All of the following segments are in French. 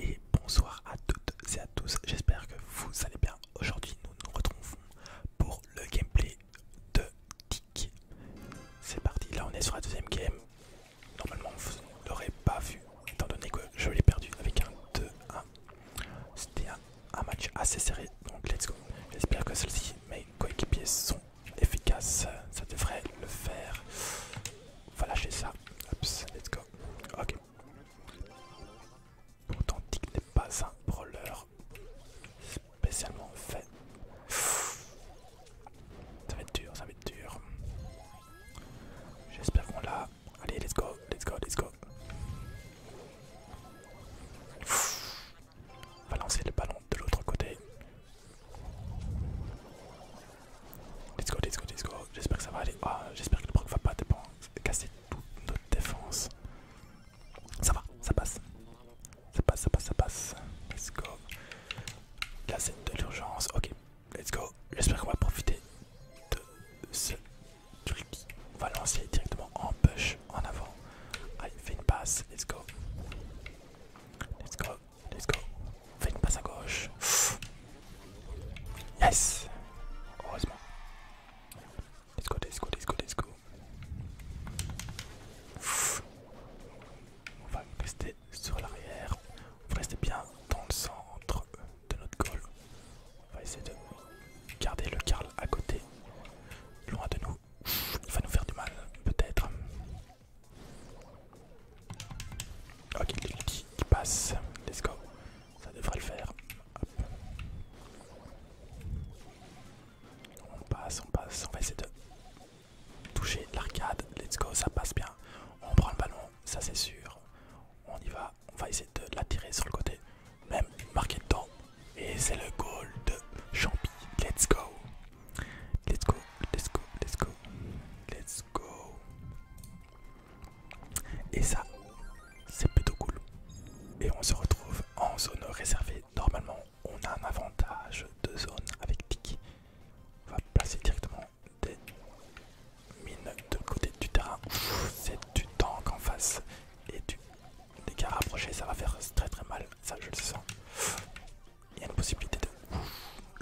et bonsoir à toutes et à tous, j'espère que vous allez bien. Aujourd'hui nous nous retrouvons pour le gameplay de Tic. C'est parti, là on est sur la deuxième game. Normalement vous ne l'aurez pas vu étant donné que je l'ai perdu avec un 2-1. C'était un, match assez serré donc let's go. J'espère que celle-ci, mes coéquipiers sont efficaces, ça devrait le faire. On va lâcher ça, let's go. Ok. Authentique n'est pas un brawler spécialement fait. Ça va être dur, ça va être dur. J'espère qu'on l'a. Allez, let's go, let's go, let's go. On va lancer le ballon de l'autre côté. Let's go, let's go, let's go. J'espère que ça va aller. Ah, j'espère que le proc va pas casser toute notre défense. Ça va, ça passe. Ça passe, ça passe, ça passe. Let's go. Casser de l'urgence. Ok, let's go. J'espère qu'on va profiter de ce truc. On va lancer directement en push en avant. Allez, fait une passe. Let's go. Let's go. Let's go. On fait une passe à gauche. Yes Heureusement. Let's go, let's go, let's go, let's go. On va rester sur l'arrière. On va rester bien dans le centre de notre goal. On va essayer de garder le Karl à côté, loin de nous. Il va nous faire du mal, peut-être. Ok, il passe. Let's go. Ça devrait le faire. On passe, on passe. On va essayer de toucher l'arcade. Let's go, ça passe bien. On prend le ballon, ça c'est sûr. On y va. On va essayer de l'attirer sur le côté. Même marqué temps. Et c'est le goal de Champi. Let's go. Let's go, let's go, let's go. Let's go. Et ça, c'est plutôt cool. Et on se retrouve en zone réservée. Normalement, on a un avantage de zone avec pique. On va placer directement des mines de côté du terrain. C'est du tank en face et du dégât rapproché. Ça va faire très très mal. Ça, je le sens. Il y a une possibilité de...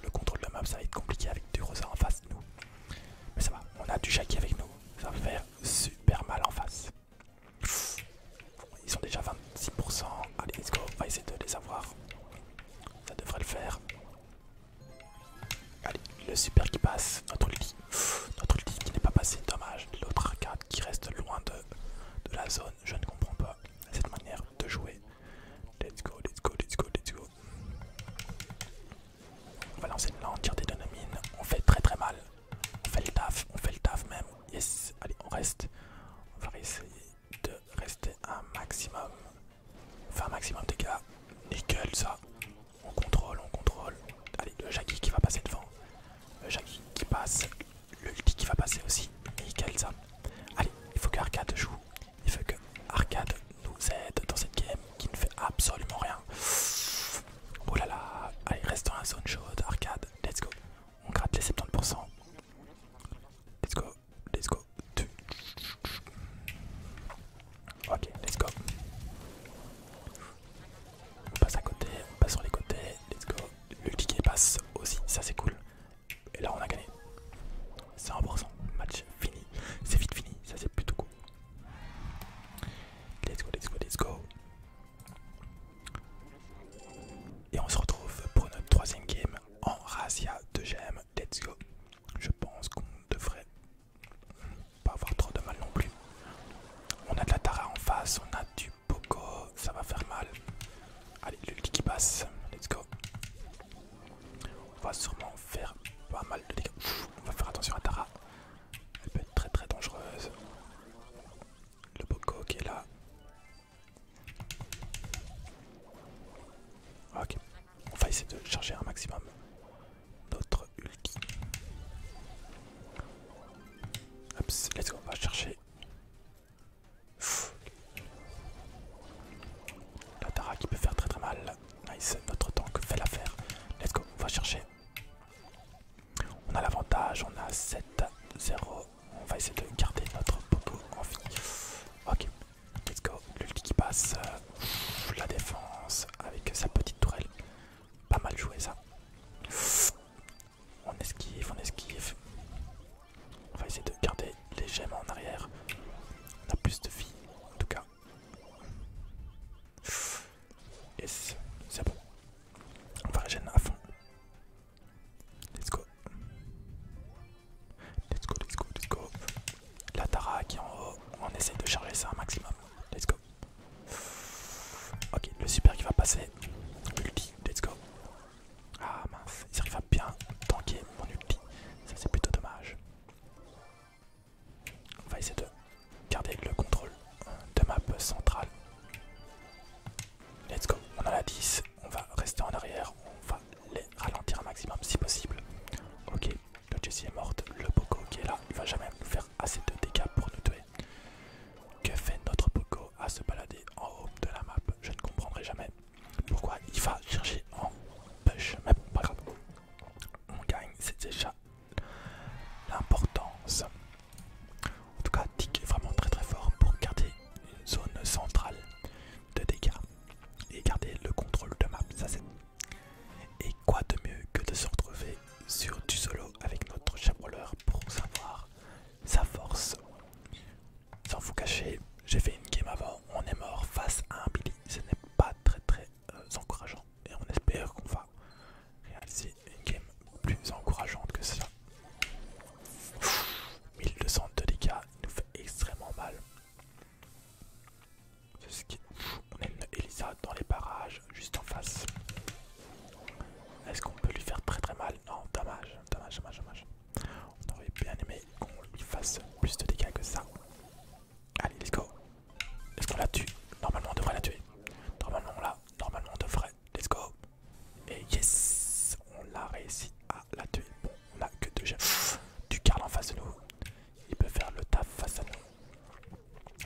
le contrôle de map, ça va être compliqué avec du rosa en face nous. Mais ça va, on a du Jackie avec nous. Ça va faire super mal en face. Ils sont déjà 26%. Allez, let's go. On va essayer de les avoir. Ça devrait le faire. Allez, le super qui passe. Notre ulti. Notre ulti qui n'est pas passé. Dommage. L'autre arcade qui reste loin de, de la zone. Je ne comprends pas cette manière de jouer. Let's go, let's go, let's go, let's go. On va lancer là, on tire des dynamines. On fait très très mal. On fait le taf, on fait le taf même. Yes, allez, on reste. On va essayer de rester un maximum. Enfin, un maximum de dégâts. Nickel ça. On contrôle, on contrôle. Allez, le Jackie qui va passer devant. Le Jackie qui passe. Le ulti qui va passer aussi. Nickel ça. Allez, il faut que Arcade joue. Il faut que Arcade nous aide dans cette game qui ne fait absolument rien. Oh là là, allez, restons à la zone chaude, Arcade, let's go. On gratte les 70%. Let's go, let's go. Ok, let's go. On passe à côté, on passe sur les côtés, let's go. Le ticket passe aussi, ça c'est cool. Et là on a gagné. 100%, match fini. C'est vite fini, ça c'est plutôt cool. Let's go, let's go, let's go. Et on se retrouve pour notre troisième game en Razia de gm Let's go. Je pense qu'on devrait pas avoir trop de mal non plus. On a de la Tara en face, on a du Poco, ça va faire mal. Allez, l'ulti qui passe. Let's go. On va sûrement faire pas mal de dégâts. on va faire attention à Tara. Elle peut être très très dangereuse. Le Boko qui est là. Ah, ok. On va essayer de charger un maximum notre ulti. let's go. On va chercher la Tara qui peut faire très très mal. Nice, notre tank fait l'affaire. Let's go, on va chercher. On a l'avantage, on a 7-0. On va essayer de garder notre popo en vie. Ok, let's go. L'ulti qui passe. La défense avec sa petite tourelle. Pas mal joué ça. On esquive, on esquive. On va essayer de garder les gemmes en arrière. On a plus de vie, en tout cas. Yes, c'est bon. On va régénérer à fond. Let's go. Let's go, let's go, let's go. La Tara qui est en haut. On essaye de charger ça un maximum. Let's go. Ok, le super qui va passer. Ulti, let's go. Ah mince, il arrive à bien tanker mon ulti. Ça c'est plutôt dommage. On va essayer de garder le contrôle euh, de map centrale. Let's go, on a la 10, on va rester en arrière, on va les ralentir un maximum si possible. Ok, le Jesse est morte, le Poco qui est là, il va jamais nous faire assez de dégâts pour nous tuer. Que fait notre Poco à se balader en haut de la map. Je ne comprendrai jamais pourquoi il va chercher en push. Mais bon, pas grave. On gagne, c'est déjà l'importance. En tout cas, Tick est vraiment très très fort pour garder une zone centrale de dégâts et garder le contrôle de map. Ça c'est. Et quoi de mieux que de se retrouver sur du solo avec notre chabroleur pour savoir sa force sans vous cacher, j'ai fait une game avant, on est mort face à un Billy, ce n'est pas très très euh, encourageant et on espère qu'on va réaliser une game plus encourageante que ça. 1200 de dégâts, il nous fait extrêmement mal. On a une Elisa dans les barrages, juste en face. Est-ce qu'on peut lui faire très très mal Non, dommage dommage, dommage, dommage, On aurait bien aimé qu'on lui fasse plus de dégâts que ça. Allez, let's go. Est-ce qu'on la tue Normalement, on devrait la tuer. Normalement, on l'a. Normalement, on devrait. Let's go. Et yes On l'a réussi à la tuer. Bon, on a que deux gènes. Du Karl en face de nous. Il peut faire le taf face à nous.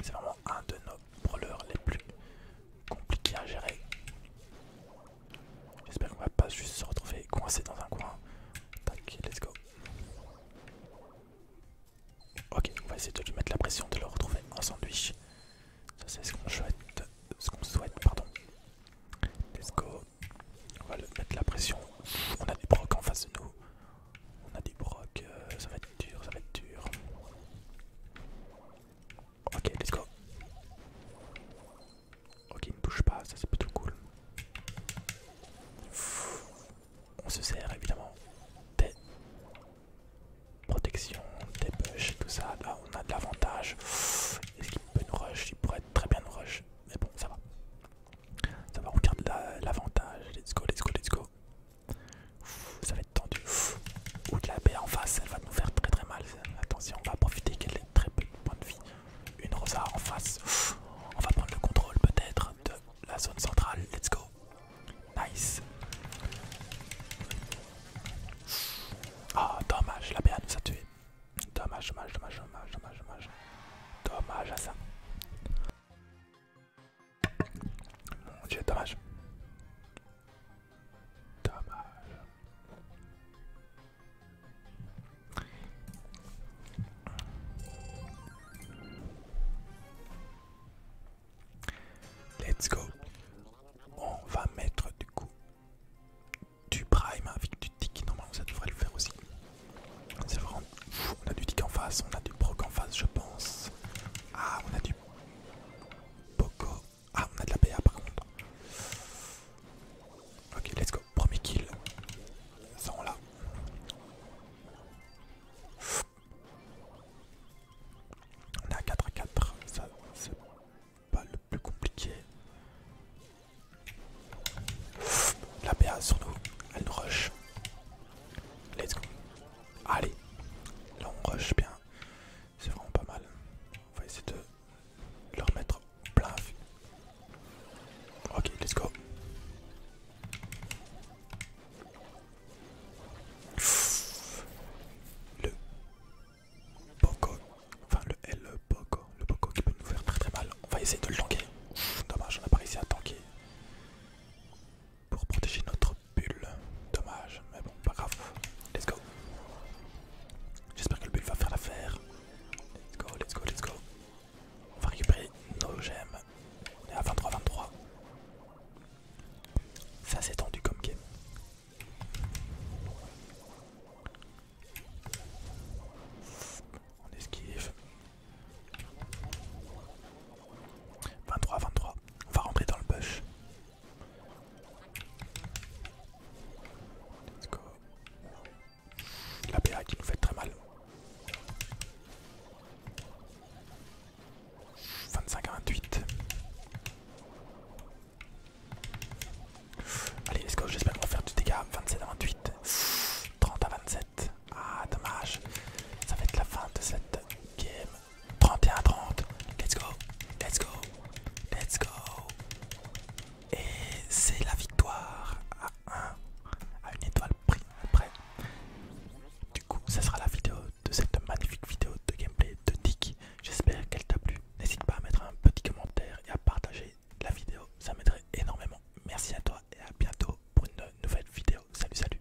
C'est vraiment un de nos brawlers les plus compliqués à gérer. J'espère qu'on va pas juste se retrouver coincé dans un coin. Tac, let's go. Ok, on va essayer de lui mettre la pression, de le retrouver en sandwich. Ça c'est ce qu'on souhaite, ce qu'on souhaite, pardon. Let's go. On va le mettre la pression. On a des brocs en face de nous. On a des brocs. Euh, ça va être dur, ça va être dur. Ok, let's go. Ok, il ne bouge pas, ça c'est plutôt cool. On se sert évidemment des protections, des push, tout ça. Là on a de l'avantage. Est-ce qu'il peut nous rush Il pourrait très bien nous rush. Mais bon, ça va. Ça va, on garde l'avantage. let's go, let's go, let's go ça va être tendu. Ou de la baie en face, elle va nous faire très très mal. Attention, on va profiter qu'elle ait très peu de points de vie. Une rosa en face. On va prendre le contrôle peut-être de la zone centrale. Let's go. Nice. Ah, dommage, la BA nous a tué. Dommage, dommage, dommage, dommage, dommage, dommage. Dommage à ça. Mon dieu, dommage. Let's go. On va mettre du coup du prime avec du tick Normalement ça devrait le faire aussi. C'est vraiment... On a du tick en face, on a du proc en face je pense. Ah on a du... Poco ah, on a de la BA par contre. Ok, let's go. Premier kill. Ça, on l'a. On est à 4 à 4. Ça, c'est pas le plus compliqué. La BA sur nous. Elle nous rush. Let's go. Allez. Là, on rush bien. C'est vraiment pas mal. On va essayer de leur mettre plein. Ok, let's go. Le Poco, enfin le L Poco, le Poco qui peut nous faire très très mal. On va essayer de le tanker. Dommage, on n'a pas réussi à tanker pour protéger notre bulle. Dommage, mais bon, pas grave. Let's go. J'espère que le bulle va faire l'affaire. Let's go, let's go, let's go. On va récupérer nos gemmes. On est à 23-23. Ça s'est tendu comme game. On esquive. 23, 23. On va rentrer dans le bush. Let's La BA qui nous fait très mal. 25 à 28. Allez, let's go. J'espère qu'on va faire du dégât. 27 à 28. 30 à 27. Ah, dommage. Ça va être la fin de cette game. 31 30. Let's go, let's go, let's go. Et c'est la victoire à 1, à une étoile près. Du coup, ça sera la vidéo de cette magnifique vidéo de gameplay de Dick. J'espère qu'elle t'a plu. N'hésite pas à mettre un petit commentaire et à partager la vidéo, ça m'aiderait énormément. Merci à toi et à bientôt pour une nouvelle vidéo. Salut, salut.